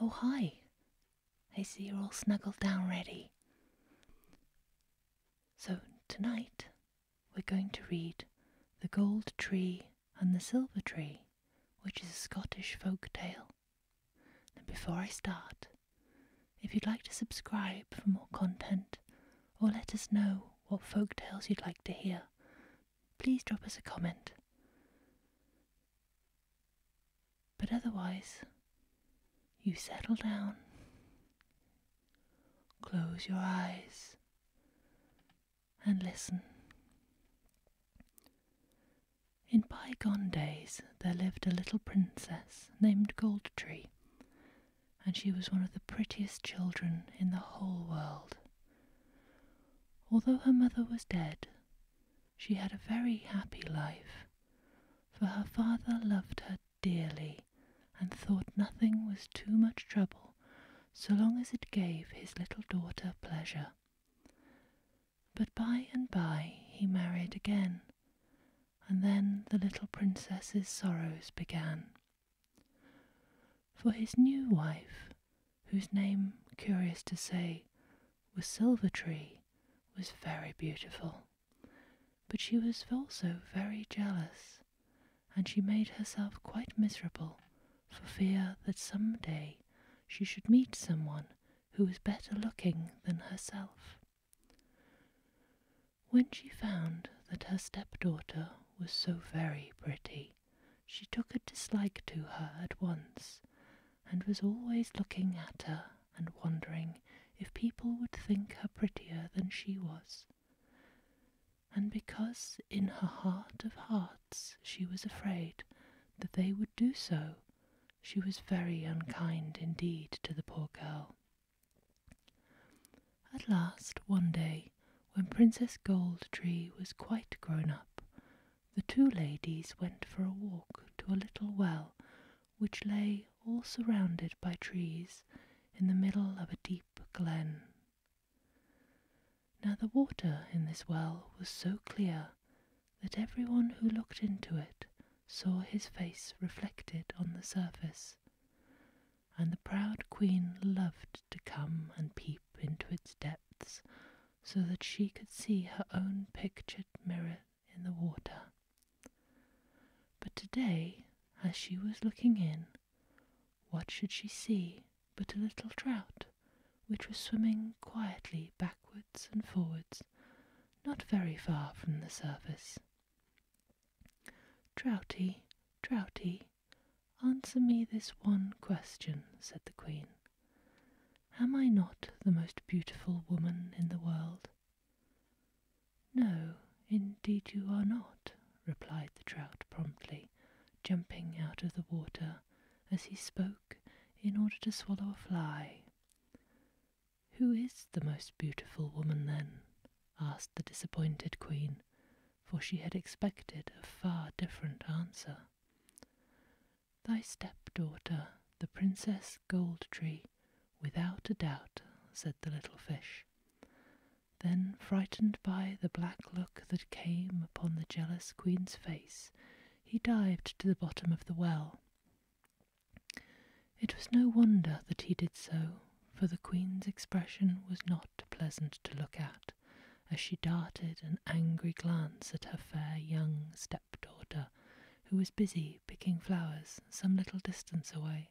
Oh, hi. I see you're all snuggled down ready. So, tonight we're going to read The Gold Tree and the Silver Tree, which is a Scottish folk tale. And before I start, if you'd like to subscribe for more content or let us know what folk tales you'd like to hear, please drop us a comment. But otherwise, you settle down, close your eyes, and listen. In bygone days, there lived a little princess named Goldtree, and she was one of the prettiest children in the whole world. Although her mother was dead, she had a very happy life, for her father loved her dearly and thought nothing was too much trouble so long as it gave his little daughter pleasure. But by and by he married again, and then the little princess's sorrows began. For his new wife, whose name, curious to say, was Silver Tree, was very beautiful. But she was also very jealous, and she made herself quite miserable for fear that some day she should meet someone who was better looking than herself. When she found that her stepdaughter was so very pretty, she took a dislike to her at once, and was always looking at her and wondering if people would think her prettier than she was. And because in her heart of hearts she was afraid that they would do so, she was very unkind indeed to the poor girl. At last, one day, when Princess Gold Tree was quite grown up, the two ladies went for a walk to a little well which lay all surrounded by trees in the middle of a deep glen. Now the water in this well was so clear that everyone who looked into it saw his face reflected on the surface, and the proud queen loved to come and peep into its depths so that she could see her own pictured mirror in the water. But today, as she was looking in, what should she see but a little trout, which was swimming quietly backwards and forwards, not very far from the surface. Trouty, Trouty, Answer me this one question, said the queen. Am I not the most beautiful woman in the world? No, indeed you are not, replied the trout promptly, jumping out of the water as he spoke in order to swallow a fly. Who is the most beautiful woman then? asked the disappointed queen, for she had expected a far different answer. Thy stepdaughter, the Princess Goldtree, without a doubt, said the little fish. Then, frightened by the black look that came upon the jealous queen's face, he dived to the bottom of the well. It was no wonder that he did so, for the queen's expression was not pleasant to look at as she darted an angry glance at her fair young stepdaughter, who was busy picking flowers some little distance away.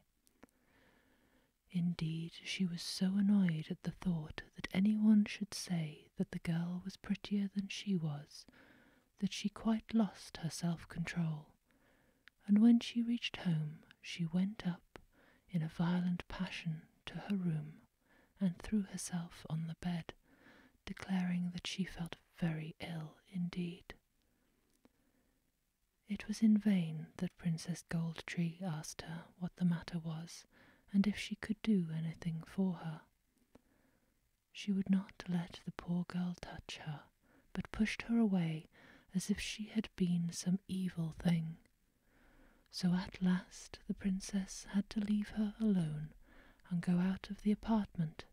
Indeed, she was so annoyed at the thought that any one should say that the girl was prettier than she was that she quite lost her self control, and when she reached home, she went up in a violent passion to her room and threw herself on the bed, declaring that she felt very ill indeed. It was in vain that Princess Gold Tree asked her what the matter was and if she could do anything for her. She would not let the poor girl touch her, but pushed her away as if she had been some evil thing. So at last the princess had to leave her alone and go out of the apartment,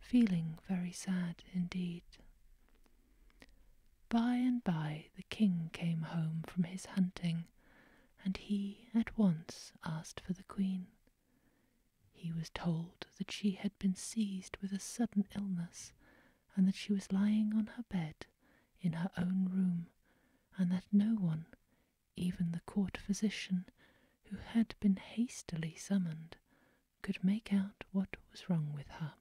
feeling very sad indeed. By and by the king came home from his hunting, and he at once asked for the queen. He was told that she had been seized with a sudden illness, and that she was lying on her bed in her own room and that no one, even the court physician, who had been hastily summoned, could make out what was wrong with her.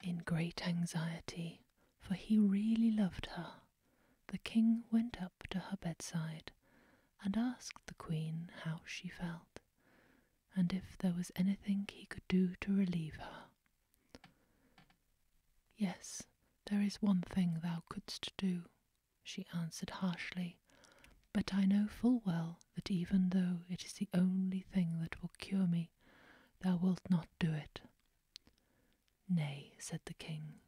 In great anxiety, for he really loved her, the king went up to her bedside and asked the queen how she felt, and if there was anything he could do to relieve her. Yes, there is one thing thou couldst do, she answered harshly, but I know full well that even though it is the only thing that will cure me, thou wilt not do it. Nay, said the king,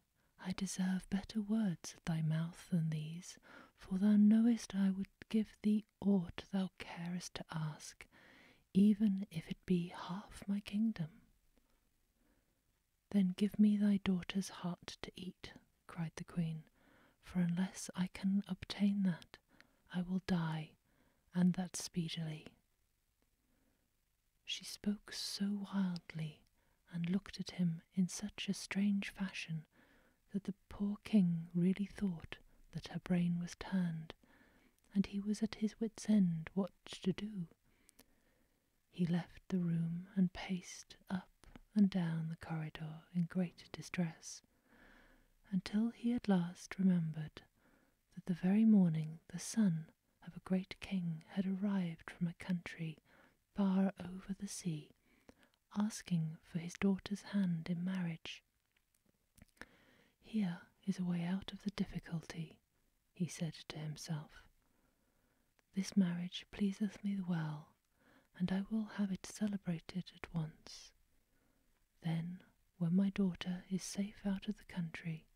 I deserve better words at thy mouth than these, for thou knowest I would give thee aught thou carest to ask, even if it be half my kingdom. Then give me thy daughter's heart to eat, cried the queen, for unless I can obtain that, I will die, and that speedily. She spoke so wildly and looked at him in such a strange fashion that the poor king really thought that her brain was turned and he was at his wits' end what to do. He left the room and paced up and down the corridor in great distress, until he at last remembered that the very morning the son of a great king had arrived from a country far over the sea, asking for his daughter's hand in marriage. Here is a way out of the difficulty, he said to himself. This marriage pleaseth me well, and I will have it celebrated at once. Then, when my daughter is safe out of the country,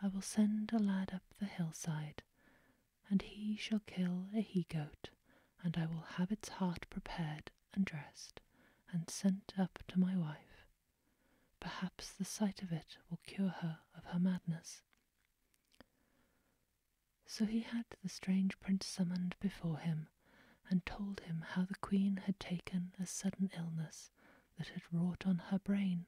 I will send a lad up the hillside, and he shall kill a he goat, and I will have its heart prepared and dressed and sent up to my wife. Perhaps the sight of it will cure her of her madness. So he had the strange prince summoned before him, and told him how the queen had taken a sudden illness that had wrought on her brain,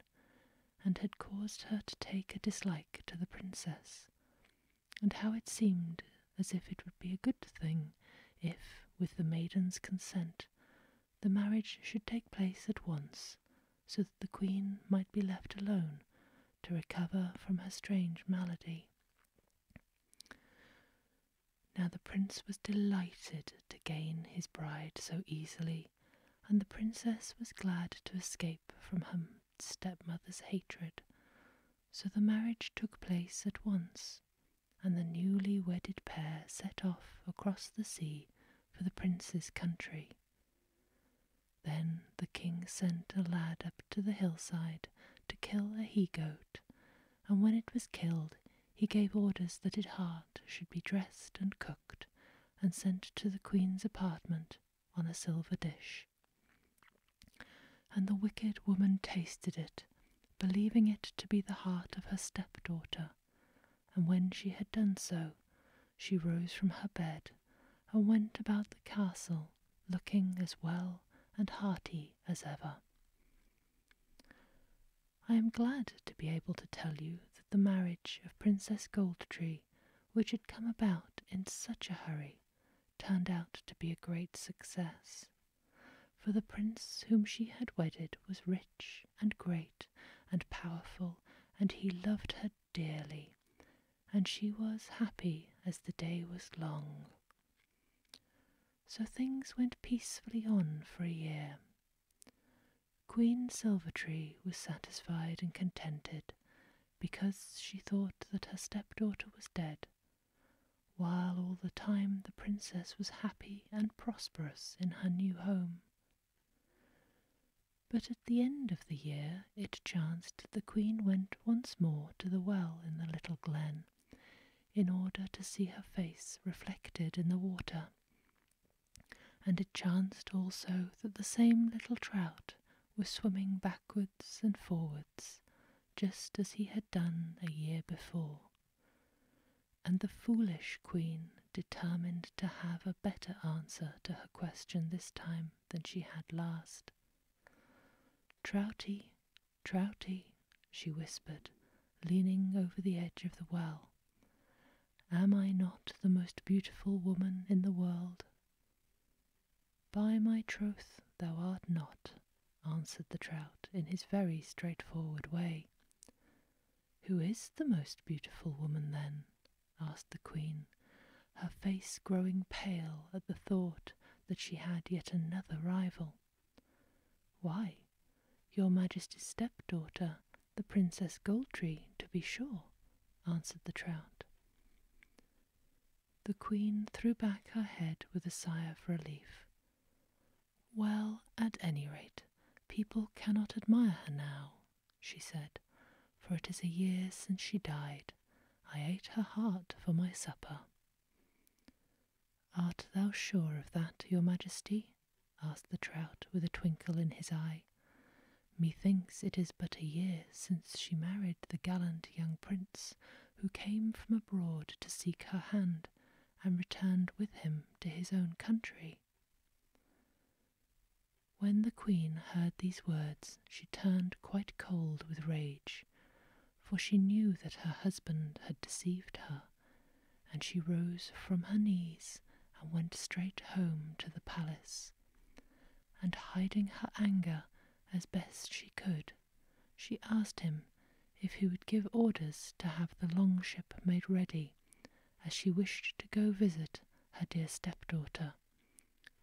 and had caused her to take a dislike to the princess, and how it seemed as if it would be a good thing if, with the maiden's consent, the marriage should take place at once, so that the queen might be left alone to recover from her strange malady. Now the prince was delighted to gain his bride so easily, and the princess was glad to escape from her stepmother's hatred, so the marriage took place at once and the newly wedded pair set off across the sea for the prince's country. Then the king sent a lad up to the hillside to kill a he goat, and when it was killed, he gave orders that its heart should be dressed and cooked and sent to the queen's apartment on a silver dish and the wicked woman tasted it, believing it to be the heart of her stepdaughter. And when she had done so, she rose from her bed and went about the castle, looking as well and hearty as ever. I am glad to be able to tell you that the marriage of Princess Goldtree, which had come about in such a hurry, turned out to be a great success. For the prince whom she had wedded was rich and great and powerful, and he loved her dearly, and she was happy as the day was long. So things went peacefully on for a year. Queen Silvertree was satisfied and contented because she thought that her stepdaughter was dead while all the time the princess was happy and prosperous in her new home. But at the end of the year it chanced the queen went once more to the well in the little glen in order to see her face reflected in the water. And it chanced also that the same little trout was swimming backwards and forwards just as he had done a year before, and the foolish queen determined to have a better answer to her question this time than she had last. Trouty, Trouty, she whispered, leaning over the edge of the well. Am I not the most beautiful woman in the world? By my troth, thou art not, answered the trout in his very straightforward way. Who is the most beautiful woman then? asked the queen, her face growing pale at the thought that she had yet another rival. Why, your majesty's stepdaughter, the Princess Goldtree, to be sure, answered the trout. The queen threw back her head with a sigh of relief. Well, at any rate, people cannot admire her now, she said, for it is a year since she died. I ate her heart for my supper. Art thou sure of that, your majesty? asked the trout with a twinkle in his eye. Methinks it is but a year since she married the gallant young prince who came from abroad to seek her hand and returned with him to his own country. When the queen heard these words, she turned quite cold with rage, for she knew that her husband had deceived her, and she rose from her knees and went straight home to the palace. And hiding her anger as best she could, she asked him if he would give orders to have the long ship made ready, as she wished to go visit her dear stepdaughter,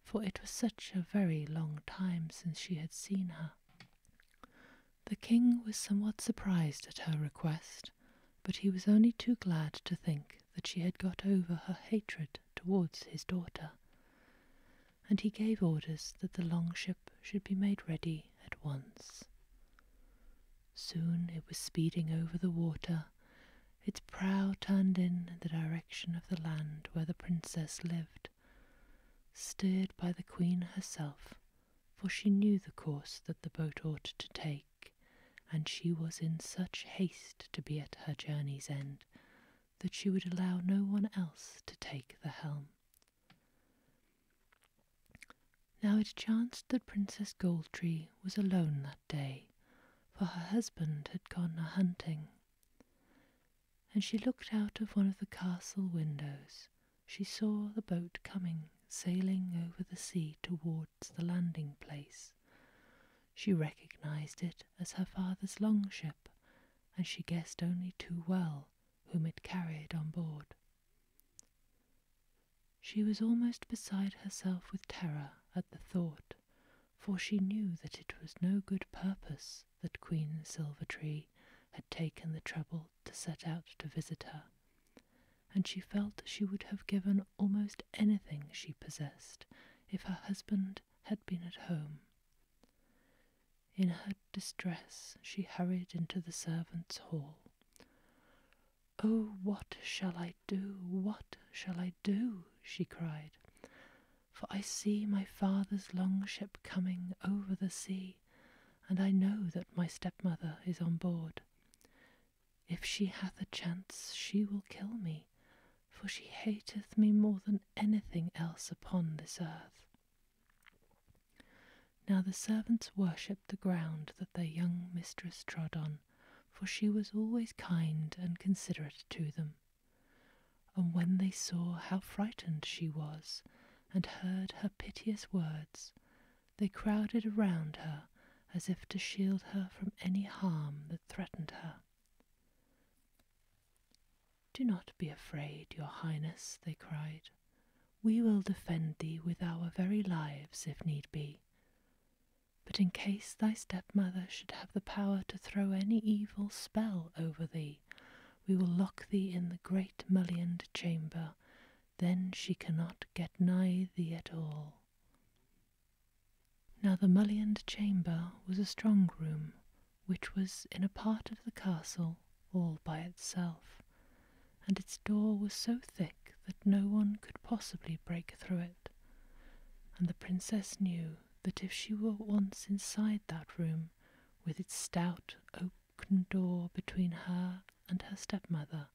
for it was such a very long time since she had seen her. The king was somewhat surprised at her request, but he was only too glad to think that she had got over her hatred towards his daughter and he gave orders that the long ship should be made ready at once. Soon it was speeding over the water, its prow turned in the direction of the land where the princess lived, steered by the queen herself, for she knew the course that the boat ought to take, and she was in such haste to be at her journey's end that she would allow no one else to take the helm. Now it chanced that Princess Goldtree was alone that day, for her husband had gone a hunting. And she looked out of one of the castle windows. She saw the boat coming, sailing over the sea towards the landing place. She recognized it as her father's longship and she guessed only too well whom it carried on board. She was almost beside herself with terror at the thought, for she knew that it was no good purpose that Queen Silvertree had taken the trouble to set out to visit her, and she felt she would have given almost anything she possessed if her husband had been at home. In her distress, she hurried into the servants' hall. Oh, what shall I do? What shall I do? she cried. For I see my father's long ship coming over the sea, and I know that my stepmother is on board. If she hath a chance, she will kill me, for she hateth me more than anything else upon this earth. Now the servants worshipped the ground that their young mistress trod on, for she was always kind and considerate to them. And when they saw how frightened she was, and heard her piteous words, they crowded around her as if to shield her from any harm that threatened her. Do not be afraid, Your Highness, they cried. We will defend thee with our very lives if need be. But in case thy stepmother should have the power to throw any evil spell over thee, we will lock thee in the great mullioned chamber. Then she cannot get nigh thee at all. Now the mullioned chamber was a strong room, which was in a part of the castle all by itself, and its door was so thick that no one could possibly break through it. And the princess knew that if she were once inside that room, with its stout oak door between her and her stepmother,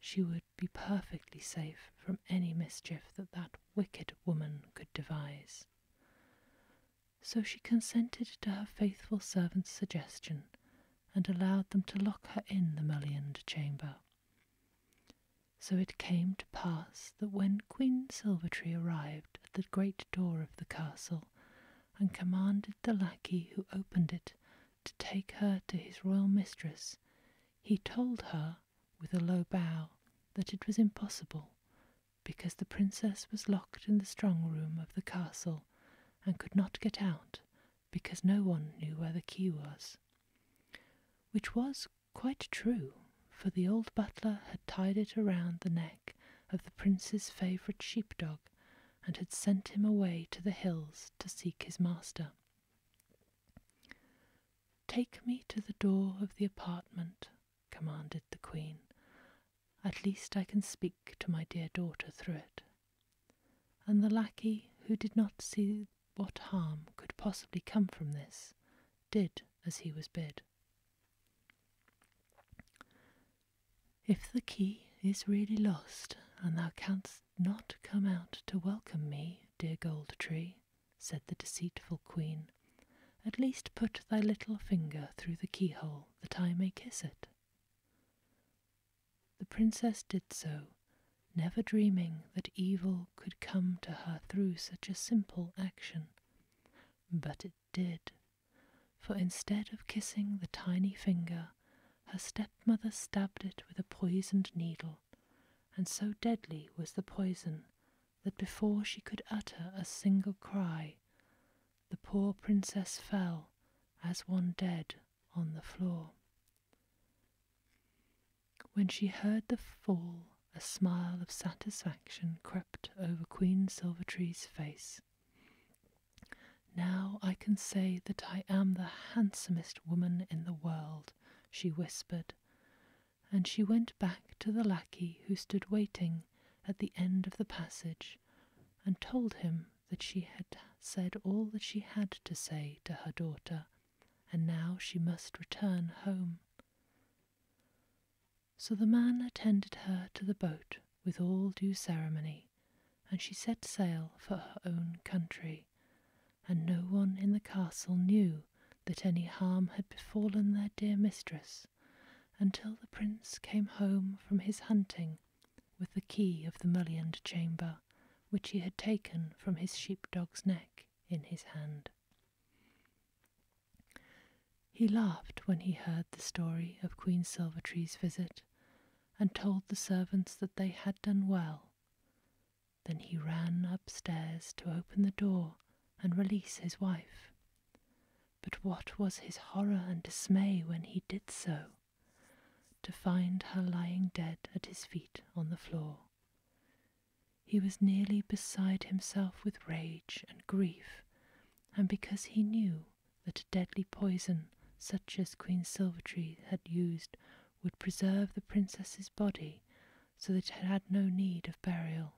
she would be perfectly safe from any mischief that that wicked woman could devise. So she consented to her faithful servant's suggestion and allowed them to lock her in the mullioned chamber. So it came to pass that when Queen Silvertree arrived at the great door of the castle and commanded the lackey who opened it to take her to his royal mistress, he told her with a low bow that it was impossible because the princess was locked in the strong room of the castle and could not get out because no one knew where the key was. Which was quite true, for the old butler had tied it around the neck of the prince's favourite sheepdog and had sent him away to the hills to seek his master. Take me to the door of the apartment commanded the queen. At least I can speak to my dear daughter through it. And the lackey, who did not see what harm could possibly come from this, did as he was bid. If the key is really lost, and thou canst not come out to welcome me, dear Gold Tree, said the deceitful queen, at least put thy little finger through the keyhole that I may kiss it. The princess did so, never dreaming that evil could come to her through such a simple action. But it did, for instead of kissing the tiny finger, her stepmother stabbed it with a poisoned needle, and so deadly was the poison that before she could utter a single cry, the poor princess fell as one dead on the floor. When she heard the fall, a smile of satisfaction crept over Queen Silvertree's face. Now I can say that I am the handsomest woman in the world, she whispered, and she went back to the lackey who stood waiting at the end of the passage and told him that she had said all that she had to say to her daughter, and now she must return home. So the man attended her to the boat with all due ceremony, and she set sail for her own country, and no one in the castle knew that any harm had befallen their dear mistress until the prince came home from his hunting with the key of the mullioned chamber which he had taken from his sheepdog's neck in his hand. He laughed when he heard the story of Queen Silvertree's visit, and told the servants that they had done well, then he ran upstairs to open the door and release his wife. But what was his horror and dismay when he did so, to find her lying dead at his feet on the floor. He was nearly beside himself with rage and grief, and because he knew that a deadly poison such as Queen Silvertree had used would preserve the princess's body so that it had no need of burial.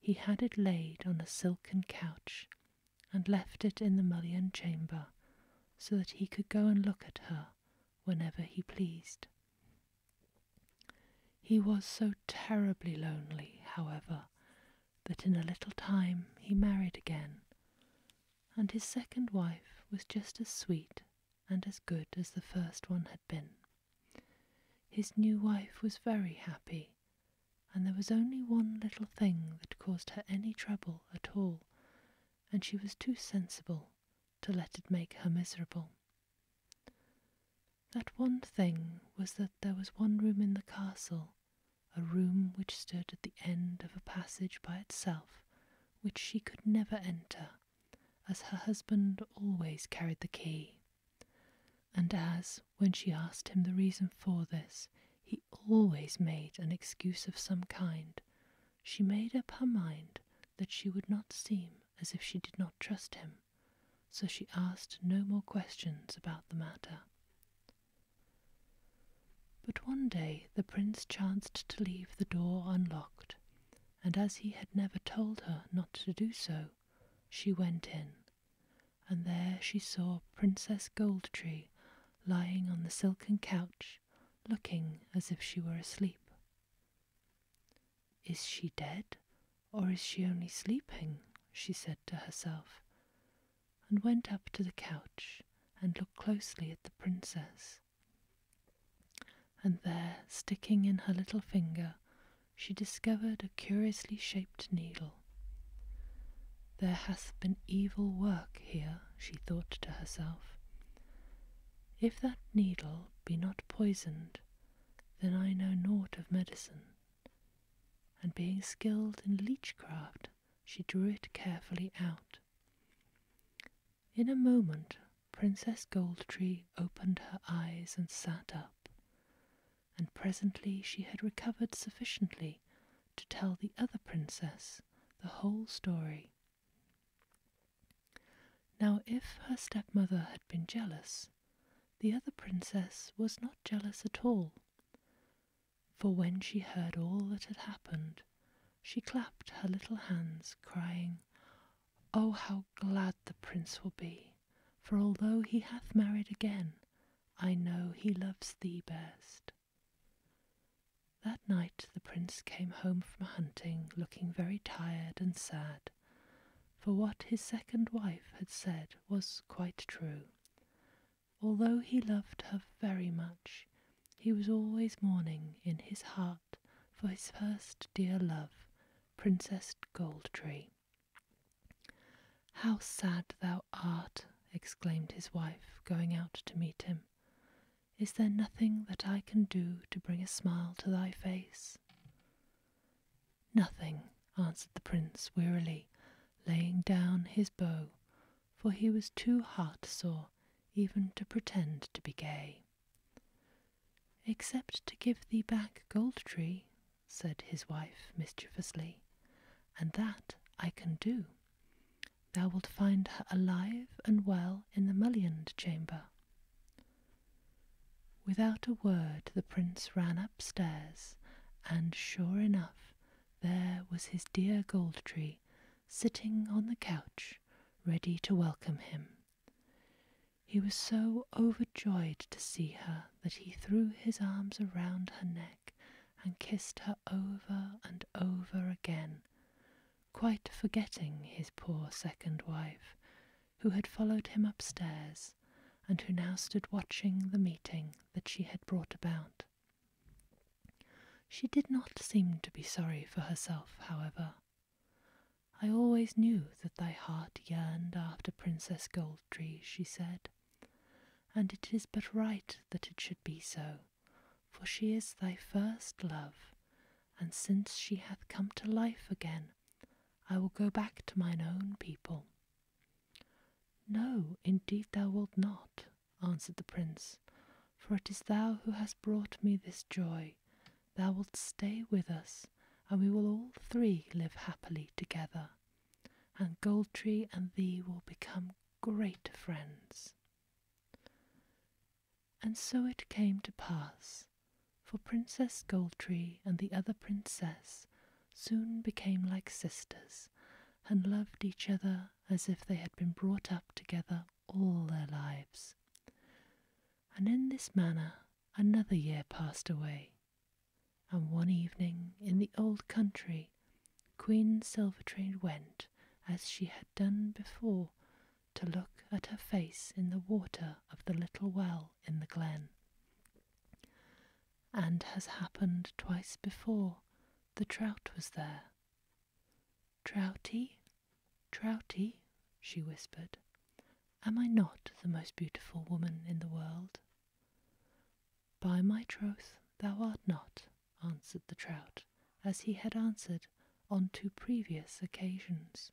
He had it laid on a silken couch and left it in the mullioned chamber so that he could go and look at her whenever he pleased. He was so terribly lonely, however, that in a little time he married again, and his second wife was just as sweet and as good as the first one had been. His new wife was very happy, and there was only one little thing that caused her any trouble at all, and she was too sensible to let it make her miserable. That one thing was that there was one room in the castle, a room which stood at the end of a passage by itself, which she could never enter as her husband always carried the key, and as, when she asked him the reason for this, he always made an excuse of some kind, she made up her mind that she would not seem as if she did not trust him, so she asked no more questions about the matter. But one day the prince chanced to leave the door unlocked, and as he had never told her not to do so, she went in, and there she saw Princess Goldtree lying on the silken couch, looking as if she were asleep. Is she dead, or is she only sleeping? she said to herself, and went up to the couch and looked closely at the princess. And there, sticking in her little finger, she discovered a curiously shaped needle. There hath been evil work here, she thought to herself. If that needle be not poisoned, then I know naught of medicine. And being skilled in leechcraft, she drew it carefully out. In a moment Princess Goldtree opened her eyes and sat up, and presently she had recovered sufficiently to tell the other princess the whole story. Now, if her stepmother had been jealous, the other princess was not jealous at all. For when she heard all that had happened, she clapped her little hands, crying, Oh, how glad the prince will be, for although he hath married again, I know he loves thee best. That night the prince came home from hunting looking very tired and sad, for what his second wife had said was quite true. Although he loved her very much, he was always mourning in his heart for his first dear love, Princess Goldtree. How sad thou art, exclaimed his wife, going out to meet him. Is there nothing that I can do to bring a smile to thy face? Nothing, answered the prince wearily, laying down his bow, for he was too heart sore even to pretend to be gay. Except to give thee back Gold Tree, said his wife mischievously, and that I can do. Thou wilt find her alive and well in the mullioned chamber. Without a word, the prince ran upstairs, and sure enough, there was his dear Gold Tree sitting on the couch, ready to welcome him. He was so overjoyed to see her that he threw his arms around her neck and kissed her over and over again, quite forgetting his poor second wife, who had followed him upstairs and who now stood watching the meeting that she had brought about. She did not seem to be sorry for herself, however. I always knew that thy heart yearned after Princess Goldtree, she said, and it is but right that it should be so, for she is thy first love, and since she hath come to life again, I will go back to mine own people. No, indeed thou wilt not, answered the prince, for it is thou who hast brought me this joy, Thou wilt stay with us, and we will all three live happily together, and Goldtree and thee will become great friends. And so it came to pass, for Princess Goldtree and the other princess soon became like sisters, and loved each other as if they had been brought up together all their lives. And in this manner another year passed away, and one evening in the old country Queen Silvertrain went, as she had done before, to look at her face in the water of the little well in the glen. And as happened twice before, the trout was there, Trouty, Trouty, she whispered, am I not the most beautiful woman in the world? By my troth, thou art not, answered the trout, as he had answered on two previous occasions.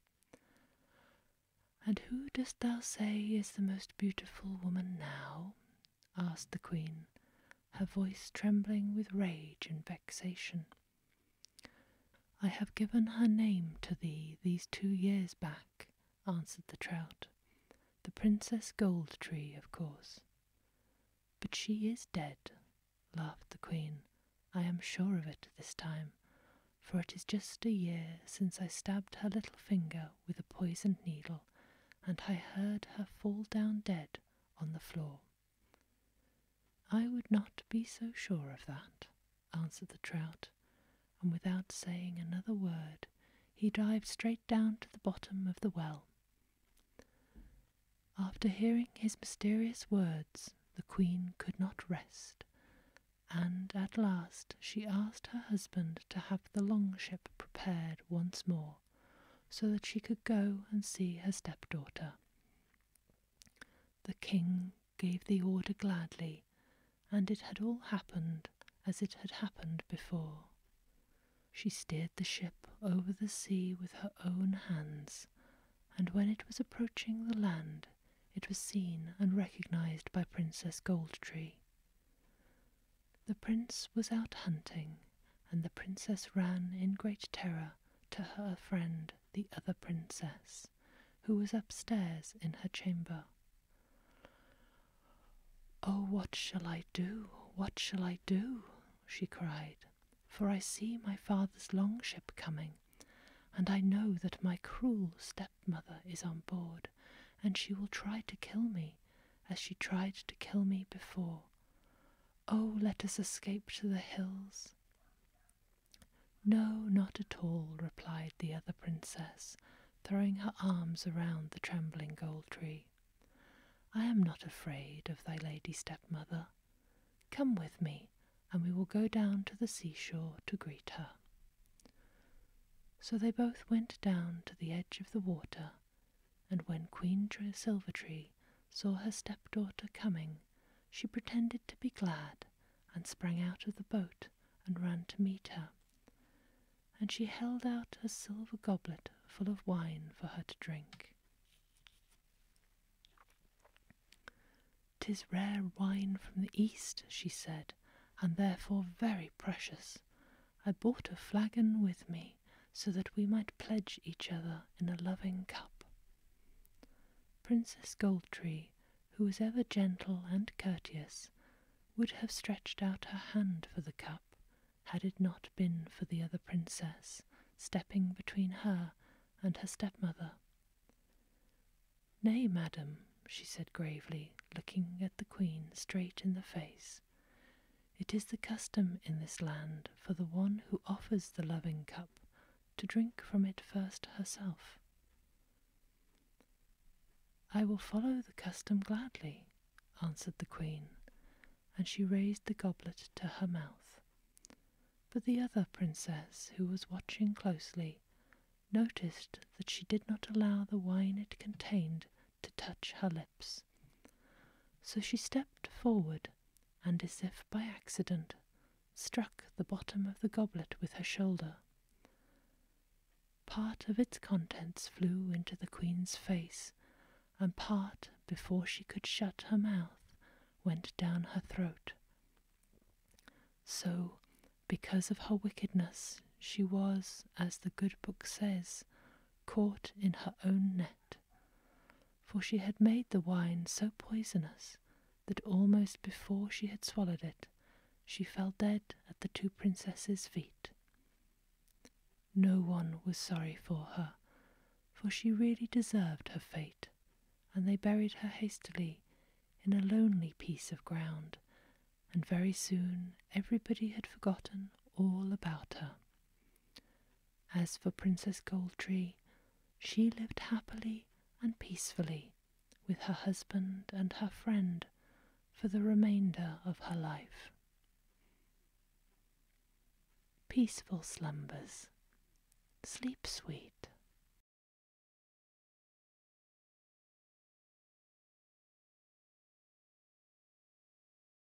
And who dost thou say is the most beautiful woman now? asked the queen, her voice trembling with rage and vexation. I have given her name to thee these two years back, answered the trout. The Princess Goldtree, of course. But she is dead, laughed the queen. I am sure of it this time, for it is just a year since I stabbed her little finger with a poisoned needle, and I heard her fall down dead on the floor. I would not be so sure of that, answered the trout, and without saying another word, he dived straight down to the bottom of the well. After hearing his mysterious words, the queen could not rest, and at last she asked her husband to have the long ship prepared once more so that she could go and see her stepdaughter. The king gave the order gladly, and it had all happened as it had happened before. She steered the ship over the sea with her own hands, and when it was approaching the land, it was seen and recognized by Princess Goldtree. The prince was out hunting, and the princess ran in great terror to her friend the other princess, who was upstairs in her chamber. Oh, what shall I do? What shall I do? she cried, for I see my father's long ship coming, and I know that my cruel stepmother is on board, and she will try to kill me as she tried to kill me before. Oh, let us escape to the hills. No, not at all, replied the other princess, throwing her arms around the trembling gold tree. I am not afraid of thy lady stepmother. Come with me, and we will go down to the seashore to greet her. So they both went down to the edge of the water and when Queen Silvertree saw her stepdaughter coming, she pretended to be glad and sprang out of the boat and ran to meet her. And she held out a silver goblet full of wine for her to drink. 'Tis rare wine from the east," she said, 'and therefore very precious. I brought a flagon with me." so that we might pledge each other in a loving cup. Princess Goldtree, who was ever gentle and courteous, would have stretched out her hand for the cup had it not been for the other princess stepping between her and her stepmother. Nay, madam, she said gravely, looking at the queen straight in the face, it is the custom in this land for the one who offers the loving cup to drink from it first herself. I will follow the custom gladly, answered the queen, and she raised the goblet to her mouth. But the other princess, who was watching closely, noticed that she did not allow the wine it contained to touch her lips. So she stepped forward, and as if by accident, struck the bottom of the goblet with her shoulder. Part of its contents flew into the queen's face, and part, before she could shut her mouth, went down her throat. So, because of her wickedness, she was, as the good book says, caught in her own net, for she had made the wine so poisonous that almost before she had swallowed it, she fell dead at the two princesses' feet. No one was sorry for her, for she really deserved her fate, and they buried her hastily in a lonely piece of ground, and very soon everybody had forgotten all about her. As for Princess Goldtree, she lived happily and peacefully with her husband and her friend for the remainder of her life. Peaceful slumbers. Sleep sweet.